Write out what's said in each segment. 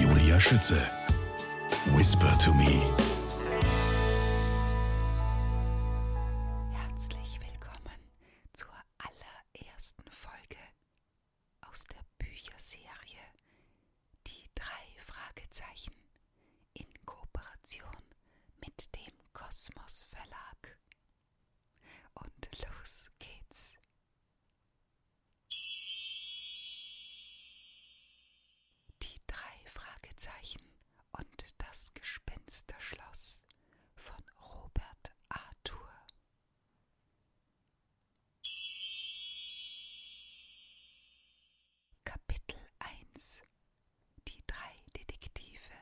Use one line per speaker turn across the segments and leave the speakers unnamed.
Julia Schütze. Whisper to me. Herzlich willkommen zur allerersten Folge aus der Bücherserie Die drei Fragezeichen in Kooperation mit dem Kosmos Verlag. Und los geht's. Die drei Fragezeichen und das Gespensterschloss von Robert Arthur. Kapitel 1 Die drei Detektive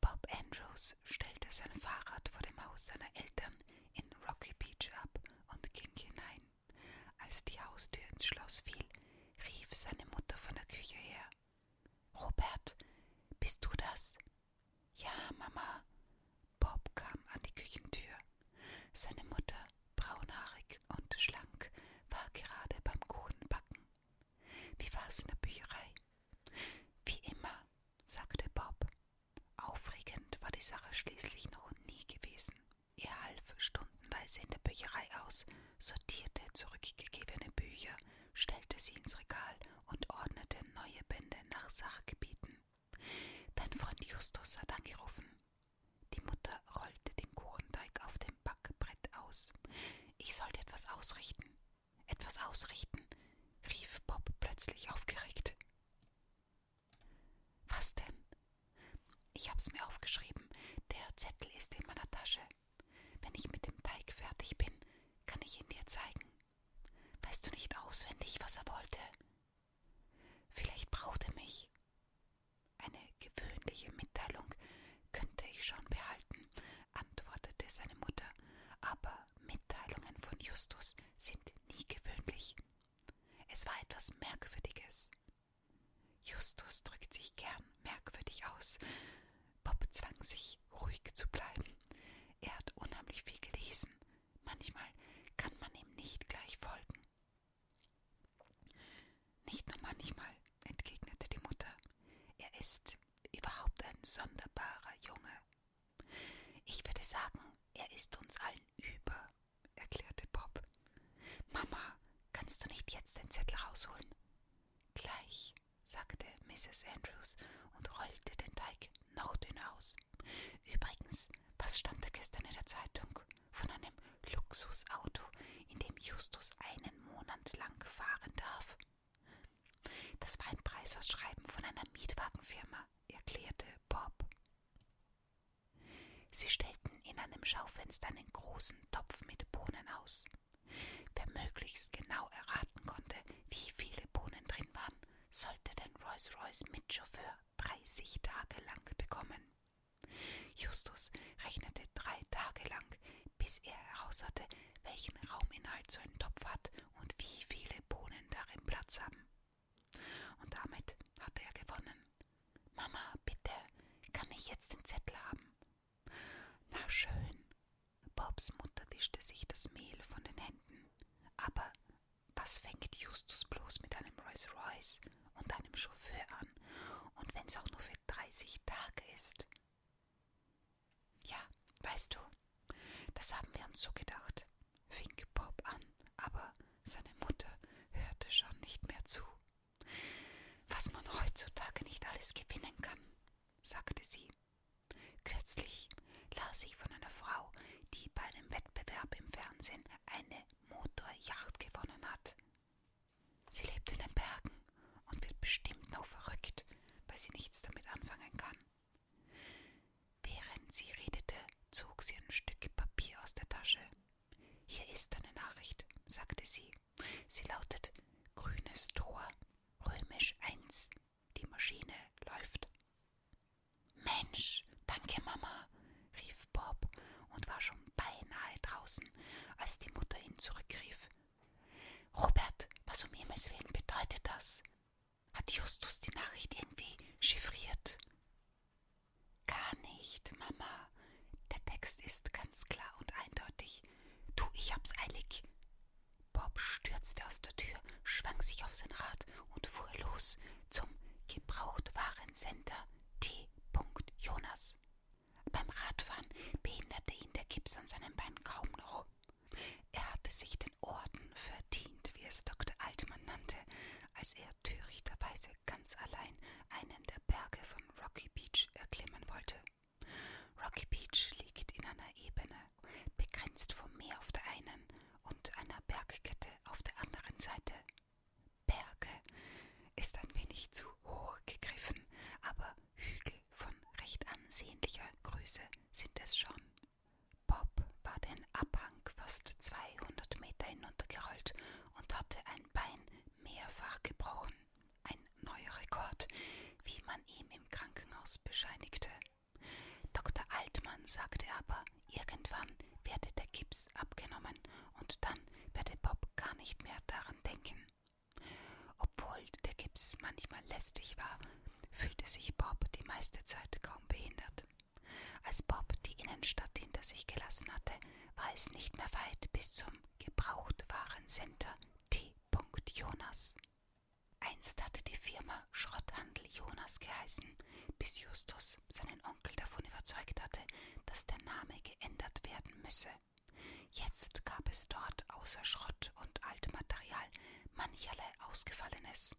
Bob Andrews stellte sein Fahrrad vor dem Haus seiner Eltern in Rocky Beach ab und ging hinein. Als die Haustür ins Schloss fiel, rief seine Mutter von der Küche her. Robert, bist du das? Ja, Mama. Bob kam an die Küchentür. Seine Mutter, braunhaarig und schlank, war gerade beim Kuchenbacken. Wie war's in der Bücherei? Wie immer, sagte Bob. Aufregend war die Sache schließlich noch nie gewesen. Er half stundenweise in der Bücherei aus, sortierte zurückgegebene Bücher, stellte sie ins Regal und ordnete neue Bände nach Sachgebieten. Dein Freund Justus hat angerufen. Die Mutter rollte den Kuchenteig auf dem Backbrett aus. Ich sollte etwas ausrichten. Etwas ausrichten, rief Bob plötzlich aufgeregt. Was denn? Ich hab's mir aufgeschrieben. Der Zettel ist in meiner Tasche. Wenn ich mit dem Teig fertig bin, kann ich ihn dir zeigen. Weißt du nicht auswendig, was er wollte? Vielleicht braucht er mich. Eine gewöhnliche Mitteilung könnte ich schon behalten, antwortete seine Mutter, aber Mitteilungen von Justus sind nie gewöhnlich. Es war etwas Merkwürdiges. Justus drückt sich gern merkwürdig aus. Bob zwang sich, ruhig zu bleiben. Er hat unheimlich viel gelesen. Manchmal kann man ihm nicht gleich folgen. Nicht nur manchmal, entgegnete die Mutter. Er ist überhaupt ein sonderbarer Junge. Ich würde sagen, er ist uns allen über, erklärte Bob. Mama, kannst du nicht jetzt den Zettel rausholen? Gleich, sagte Mrs. Andrews und rollte den Teig noch dünner aus. Übrigens, was stand da gestern in der Zeitung? Von einem Luxusauto, in dem Justus einen Monat lang fahren darf. Das war ein Preisausschreiben von einer Mietwagenfirma erklärte Bob. Sie stellten in einem Schaufenster einen großen Topf mit Bohnen aus. Wer möglichst genau erraten konnte, wie viele Bohnen drin waren, sollte den Rolls-Royce mit Chauffeur 30 Tage lang bekommen. Justus rechnete drei Tage lang, bis er heraus hatte, welchen Rauminhalt so ein Topf hat und wie viele Bohnen darin Platz haben. Und damit hatte er gewonnen. Mama, bitte, kann ich jetzt den Zettel haben? Na schön. Bobs Mutter wischte sich das Mehl von den Händen. Aber was fängt Justus bloß mit einem Rolls Royce und einem Chauffeur an? Und wenn's auch nur für 30 Tage ist? Ja, weißt du, das haben wir uns so gedacht fing Bob an, aber seine Mutter hörte schon nicht mehr zu. Was man heutzutage nicht alles gewinnen kann, sagte sie. Kürzlich las ich von einer Frau, die bei einem Wettbewerb im Fernsehen eine Motorjacht gewonnen hat. Sie lebt in den Bergen und wird bestimmt noch verrückt, weil sie nichts damit anfangen kann. Während sie redete, zog sie ein Stück Papier aus der Tasche. Hier ist eine Nachricht, sagte sie. Sie lautet Grünes Tor, römisch 1. Die Maschine läuft. Mensch, danke, Mama, rief Bob und war schon beinahe draußen, als die Mutter ihn zurückrief. Robert, was um Himmels willen bedeutet das? Hat Justus die Nachricht irgendwie chiffriert? Gar nicht, Mama. Der Text ist ganz klar und eindeutig. Du, ich hab's eilig. Bob stürzte aus der Tür, schwang sich auf sein Rad und fuhr los zum Gebrauchtwarencenter T. Jonas. Beim Radfahren behinderte ihn der Gips an seinem Bein kaum noch. Er hatte sich den Orden verdient, wie es Dr. Altmann nannte, als er törichterweise ganz allein einen der Berge von Rocky Beach erklimmen wollte. Rocky Beach liegt in einer Ebene, begrenzt vom Meer auf der einen und einer Bergkette auf der anderen Seite. Berge ist ein wenig zu hoch gegriffen, aber Hügel von recht ansehnlicher Größe sind es schon. Bob war den Abhang fast 200 Meter hinuntergerollt und hatte ein Bein mehrfach gebrochen. Ein neuer Rekord, wie man ihm im Krankenhaus bescheinigte. Dr. Altmann sagte aber, irgendwann werde der Gips abgenommen und dann werde Bob gar nicht mehr daran denken. Obwohl der Gips manchmal lästig war, fühlte sich Bob die meiste Zeit kaum behindert. Als Bob die Innenstadt hinter sich gelassen hatte, war es nicht mehr weit bis zum Gebrauchtwarencenter T. Jonas. Einst hatte die Firma Schrotthandel Jonas geheißen, bis Justus seinen Onkel davon überzeugt hatte, dass der Name geändert werden müsse. Jetzt gab es dort außer Schrott und altem Material mancherlei Ausgefallenes.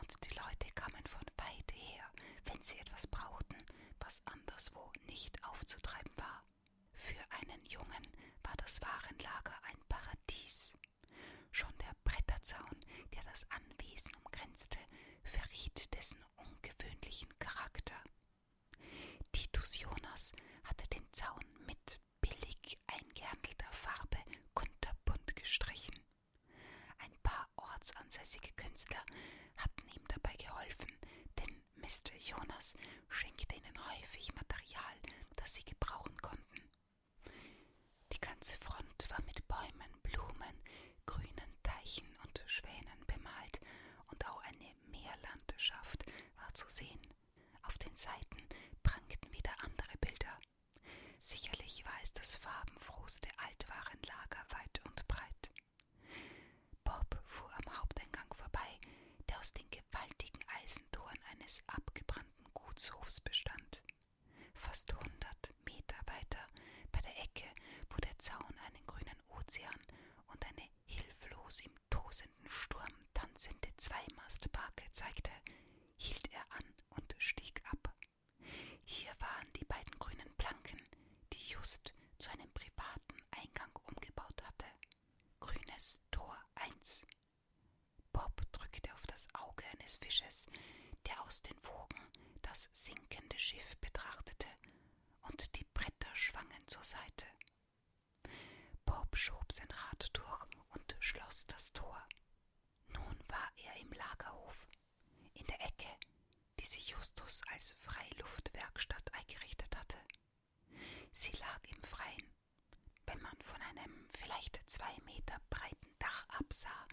Und die Leute kamen von weit her, wenn sie etwas brauchten, was anderswo nicht aufzutreiben war. Für einen Jungen war das Warenlager ein Paradies. Schon der Bretterzaun, der das Anwesen umgrenzte, verriet dessen ungewöhnlichen Charakter. Titus Jonas hatte den Zaun mit billig eingehandelter Farbe kunterbunt gestrichen. Ein paar ortsansässige Künstler hatten ihm dabei geholfen, denn Mr. Jonas schenkte ihnen häufig Material, das sie gebrauchen konnten. Die ganze Front war mit Bäumen, Blumen, grünen Teichen und Schwänen bemalt, und auch eine Meerlandschaft war zu sehen. Auf den Seiten prangten wieder andere Bilder, Sicherlich war es das farbenfrohste Altwarenlager weit und breit. Bob fuhr am Haupteingang vorbei, der aus den gewaltigen Eisentoren eines abgebrannten Gutshofs bestand. Fast hundert Meter weiter, bei der Ecke, wo der Zaun einen grünen Ozean und eine hilflos im tosenden Sturm tanzende Zweimastbarke zeigte, hielt er an und stieg ab. Hier waren die beiden grünen Planken, die Just zu einem privaten Eingang umgebaut hatte. Grünes Tor 1. Bob drückte auf das Auge eines Fisches, der aus den Wogen das sinkende Schiff betrachtete, und die Bretter schwangen zur Seite. Bob schob sein Rad durch und schloss das Tor. Nun war er im Lagerhof, in der Ecke, die sich Justus als Freiluftwerkstatt eingerichtet hatte. Sie lag im Freien. Wenn man von einem vielleicht zwei Meter breiten Dach absah,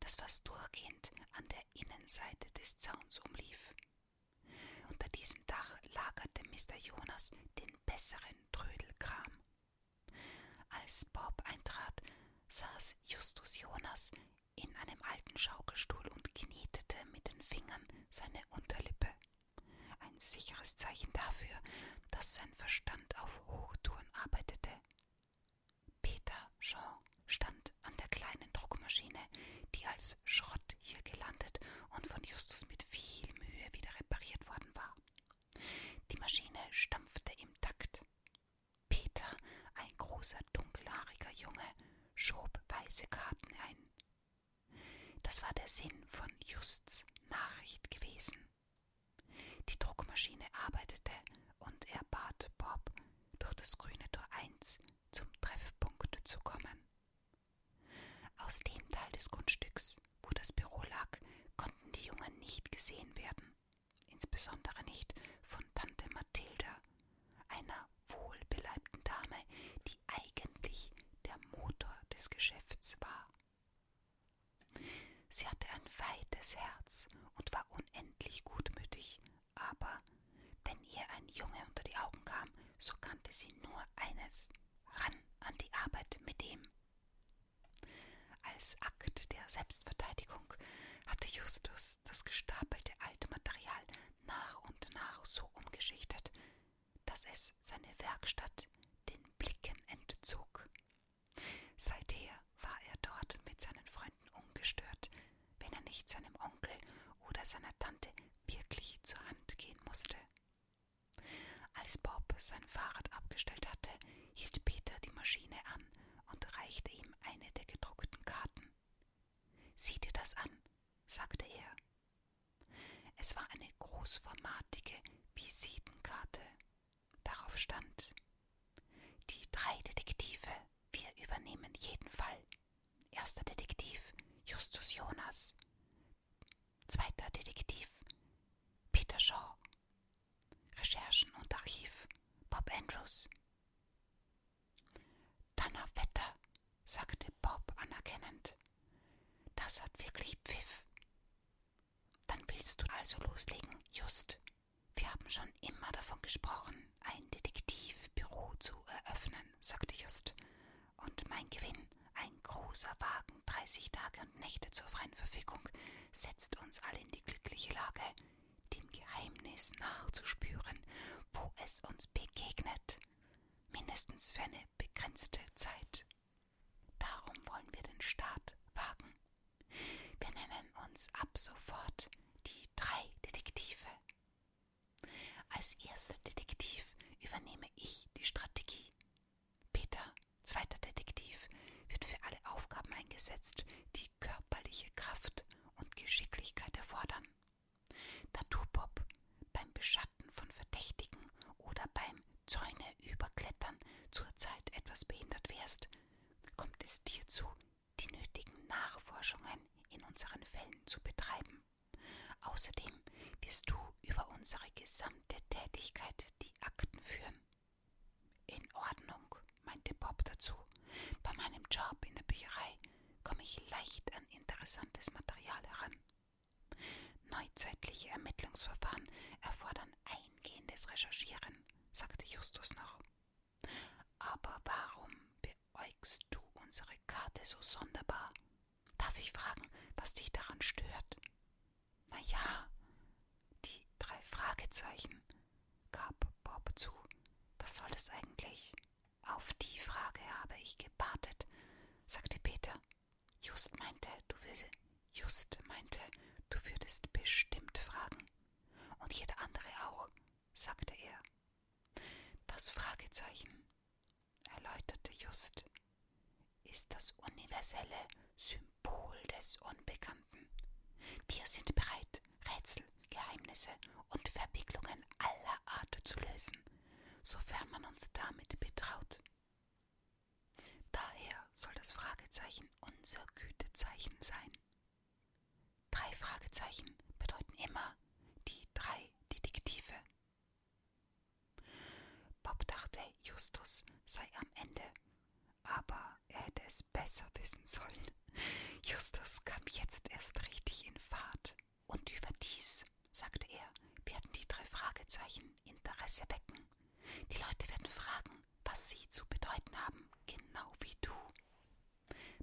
das fast durchgehend an der Innenseite des Zauns umlief. Unter diesem Dach lagerte Mr. Jonas den besseren Trödelkram. Als Bob eintrat, saß Justus Jonas in einem alten Schaukelstuhl und knetete mit den Fingern seine Unterlippe. Ein sicheres Zeichen dafür, dass sein Verstand auf Hochtouren arbeitete. Peter Jean stand an der kleinen Druckmaschine, die als Schrott hier gelandet und von Justus mit viel Mühe wieder repariert worden war. Die Maschine stampfte im Takt. Peter, ein großer, dunkelhaariger Junge, schob weiße Karten ein. Das war der Sinn von Justs Nachricht gewesen. Die Druckmaschine arbeitete und er bat Bob, durch das grüne Tor 1 zum Treffpunkt zu kommen. Aus dem Teil des Grundstücks, wo das Büro lag, konnten die Jungen nicht gesehen werden insbesondere nicht von Tante Mathilda, einer wohlbeleibten Dame, die eigentlich der Motor des Geschäfts war. Sie hatte ein weites Herz und war unendlich gutmütig, aber wenn ihr ein Junge unter die Augen kam, so kannte sie nur eines ran an die Arbeit mit ihm. Als Akt der Selbstverteidigung hatte Justus das gestapelte alte Material nach und nach so umgeschichtet, dass es seine Werkstatt den Blicken entzog. Seither war er dort mit seinen Freunden ungestört, wenn er nicht seinem Onkel oder seiner Tante wirklich zur Hand gehen musste. Als Bob sein Fahrrad abgestellt hatte, hielt Peter die Maschine an und reichte ihm eine der gedruckten Karten. Sieh dir das an, sagte er. Es war eine großformatige Visitenkarte. Darauf stand Die drei Detektive, wir übernehmen jeden Fall. Erster Detektiv Justus Jonas. Zweiter Detektiv Peter Shaw. Recherchen und Archiv Bob Andrews. Donnerwetter, sagte Bob anerkennend. Das hat wirklich Pfiff. Dann willst du also loslegen, Just. Wir haben schon immer davon gesprochen, ein Detektivbüro zu eröffnen, sagte Just. Und mein Gewinn, ein großer Wagen, 30 Tage und Nächte zur freien Verfügung, setzt uns alle in die glückliche Lage, dem Geheimnis nachzuspüren, wo es uns begegnet, mindestens für eine begrenzte Zeit. Darum wollen wir den Start wagen. Wir nennen uns ab sofort die drei Detektive. Als erster Detektiv übernehme ich die Strategie. Peter, zweiter Detektiv, wird für alle Aufgaben eingesetzt, die körperliche Kraft und Geschicklichkeit erfordern. Tattoo-Pop beim Beschatten von Verdächtigen oder beim Zäune überklettern zurzeit etwas behindert wärst, kommt es dir zu, die nötigen Nachforschungen in unseren Fällen zu betreiben. Außerdem wirst du über unsere gesamte Tätigkeit die Akten führen. In Ordnung, meinte Bob dazu. Bei meinem Job in der Bücherei komme ich leicht an interessantes Material heran. Neuzeitliche Ermittlungsverfahren erfordern eingehendes Recherchieren, sagte Justus noch. Aber warum beäugst du unsere Karte so sonderbar? Darf ich fragen, was dich daran stört? Na ja, die drei Fragezeichen, gab Bob zu. Was soll das eigentlich? Auf die Frage habe ich gewartet, sagte Peter. Just meinte, du würdest, just meinte, du würdest bestimmt fragen. Und jeder andere auch, sagte er. Das Fragezeichen, erläuterte Just, ist das universelle Symbol des Unbekannten. Wir sind bereit, Rätsel, Geheimnisse und Verwicklungen aller Art zu lösen, sofern man uns damit betraut. Daher soll das Fragezeichen unser Gütezeichen sein. Drei Fragezeichen bedeuten immer die drei Detektive. Bob dachte, Justus sei am Ende, aber er hätte es besser wissen sollen. Justus kam jetzt erst richtig in Fahrt. Und überdies, sagte er, werden die drei Fragezeichen Interesse wecken. Die Leute werden fragen, was sie zu bedeuten haben, genau wie du.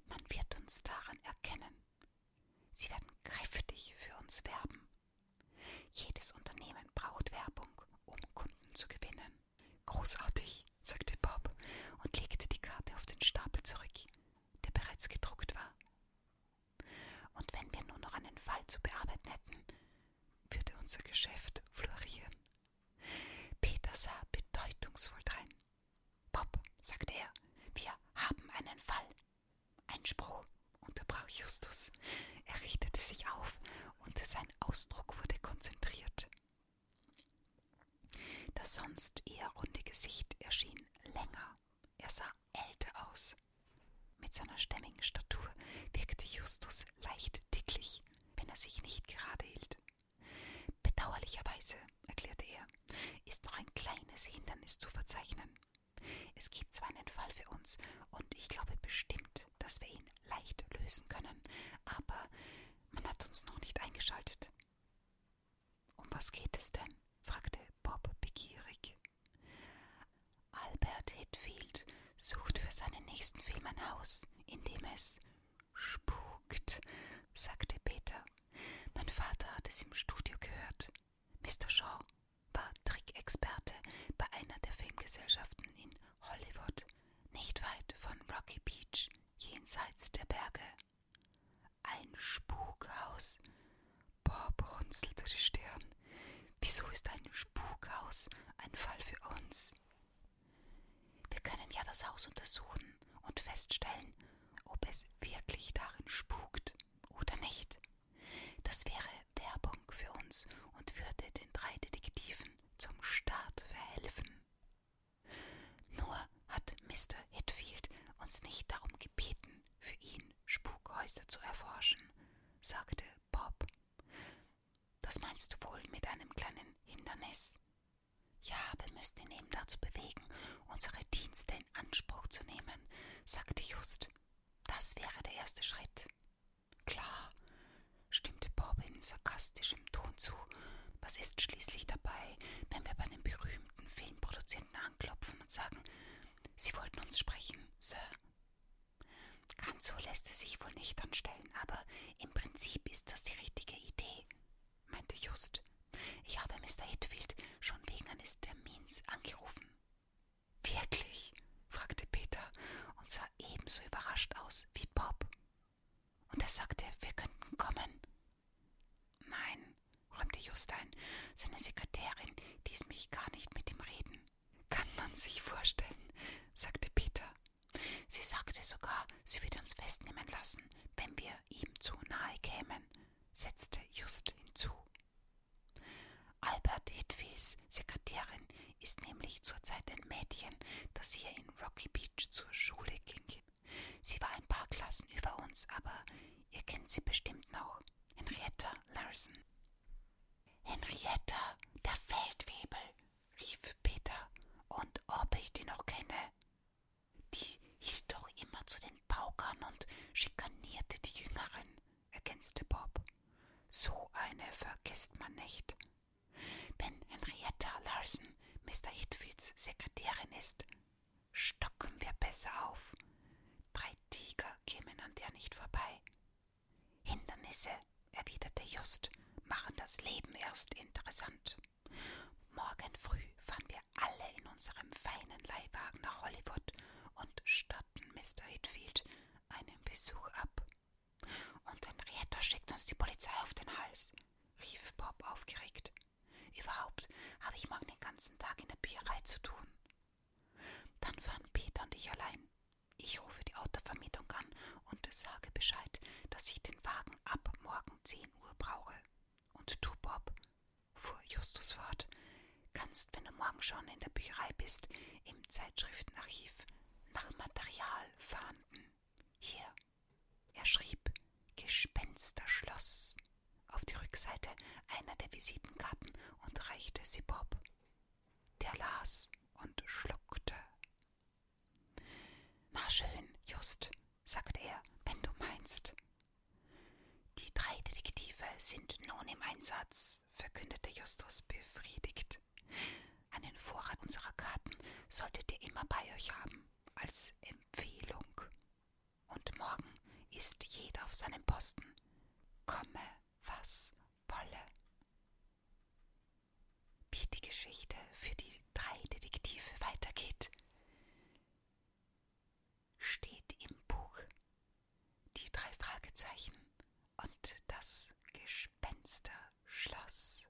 Man wird uns daran erkennen. Sie werden kräftig für uns werben. Jedes Unternehmen braucht Werbung, um Kunden zu gewinnen. Großartig, sagte Bob und legte die Karte auf den Stapel zurück, der bereits gedruckt war. Und wenn wir nur noch einen Fall zu bearbeiten hätten, würde unser Geschäft florieren. Peter sah bedeutungsvoll drein. Bob, sagte er, wir haben einen Fall. Einspruch, unterbrach Justus. Er richtete sich auf und sein Ausdruck wurde konzentriert. Das sonst eher runde Gesicht erschien länger. Er sah älter aus. Mit seiner stämmigen Statur wirkte Justus leicht dicklich, wenn er sich nicht gerade hielt. Bedauerlicherweise, erklärte er, ist noch ein kleines Hindernis zu verzeichnen. Es gibt zwar einen Fall für uns, und ich glaube bestimmt, dass wir ihn leicht lösen können, aber man hat uns noch nicht eingeschaltet. Um was geht es denn? fragte Bob begierig. Albert Hitfield sucht für seinen nächsten Film ein Haus, in dem es spukt, sagte Peter. Mein Vater hat es im Studio gehört. Mr. Shaw war Trickexperte bei einer der Filmgesellschaften in Hollywood, nicht weit von Rocky Beach, jenseits der Berge. Ein Spukhaus. Bob runzelte die Stirn. Wieso ist ein Spukhaus ein Fall für uns? Wir können ja das Haus untersuchen und feststellen, ob es wirklich darin spukt oder nicht. Das wäre Werbung für uns und würde den drei Detektiven zum Start verhelfen. Nur hat Mr. Hitfield uns nicht darum gebeten, für ihn Spukhäuser zu erforschen, sagte Bob. Das meinst du wohl mit einem kleinen Hindernis? Ja, wir müssten ihn eben dazu bewegen, unsere Dienste in Anspruch zu nehmen, sagte Just. Das wäre der erste Schritt. Klar, stimmte Bob in sarkastischer forschendem Ton zu. Was ist schließlich dabei, wenn wir bei einem berühmten Filmproduzenten anklopfen und sagen, Sie wollten uns sprechen, Sir? Ganz so lässt es sich wohl nicht anstellen, aber im Prinzip ist das die richtige Idee, meinte Just. Ich habe Mr. Hitfield schon wegen eines Termins angerufen. Wirklich? fragte Peter und sah ebenso überrascht aus wie Bob. Und er sagte, wir könnten kommen. Nein, räumte Just ein, seine Sekretärin ließ mich gar nicht mit ihm reden. Kann man sich vorstellen, sagte Peter. Sie sagte sogar, sie würde uns festnehmen lassen, wenn wir ihm zu nahe kämen, setzte Just hinzu. Albert Hitfields Sekretärin ist nämlich zurzeit ein Mädchen, das hier in Rocky Beach zur Schule ging. Sie war ein paar Klassen über uns, aber ihr kennt sie bestimmt noch. Henrietta Larsen. Henrietta, der Feldwebel, rief Peter, und ob ich die noch kenne. Die hielt doch immer zu den Paukern und schikanierte die Jüngeren, ergänzte Bob. So eine vergisst man nicht. Wenn Henrietta Larsen Madame Mr. Hitfields Sekretärin ist, stocken wir besser auf. Drei Tiger kämen an der nicht vorbei. Hindernisse, erwiderte Just, machen das Leben erst interessant. Morgen früh fahren wir alle in unserem feinen Leihwagen nach Hollywood und statten Mr. Hitfield einen Besuch ab. Und Henrietta schickt uns die Polizei auf den Hals, rief Bob aufgeregt. Überhaupt habe ich morgen den ganzen Tag in der Bücherei zu tun. Dann fahren Peter und ich allein. Ich rufe die Autovermietung an und sage Bescheid, dass ich den Wagen ab morgen 10 Uhr brauche. Und du, Bob, fuhr Justus fort, kannst, wenn du morgen schon in der Bücherei bist, im Zeitschriftenarchiv nach Material fahnden. Hier, er schrieb Gespensterschloss auf die Rückseite einer der Visitenkarten und reichte sie Bob. Der las und schluckte. Na schön, Just, sagte er, wenn du meinst. Die drei Detektive sind nun im Einsatz, verkündete Justus befriedigt. Einen Vorrat unserer Karten solltet ihr immer bei euch haben als Empfehlung. Und morgen ist jeder auf seinem Posten. Komme, was wolle. Wie die Geschichte für die drei Detektive weitergeht, steht im Buch die drei Fragezeichen und das Gespensterschloss.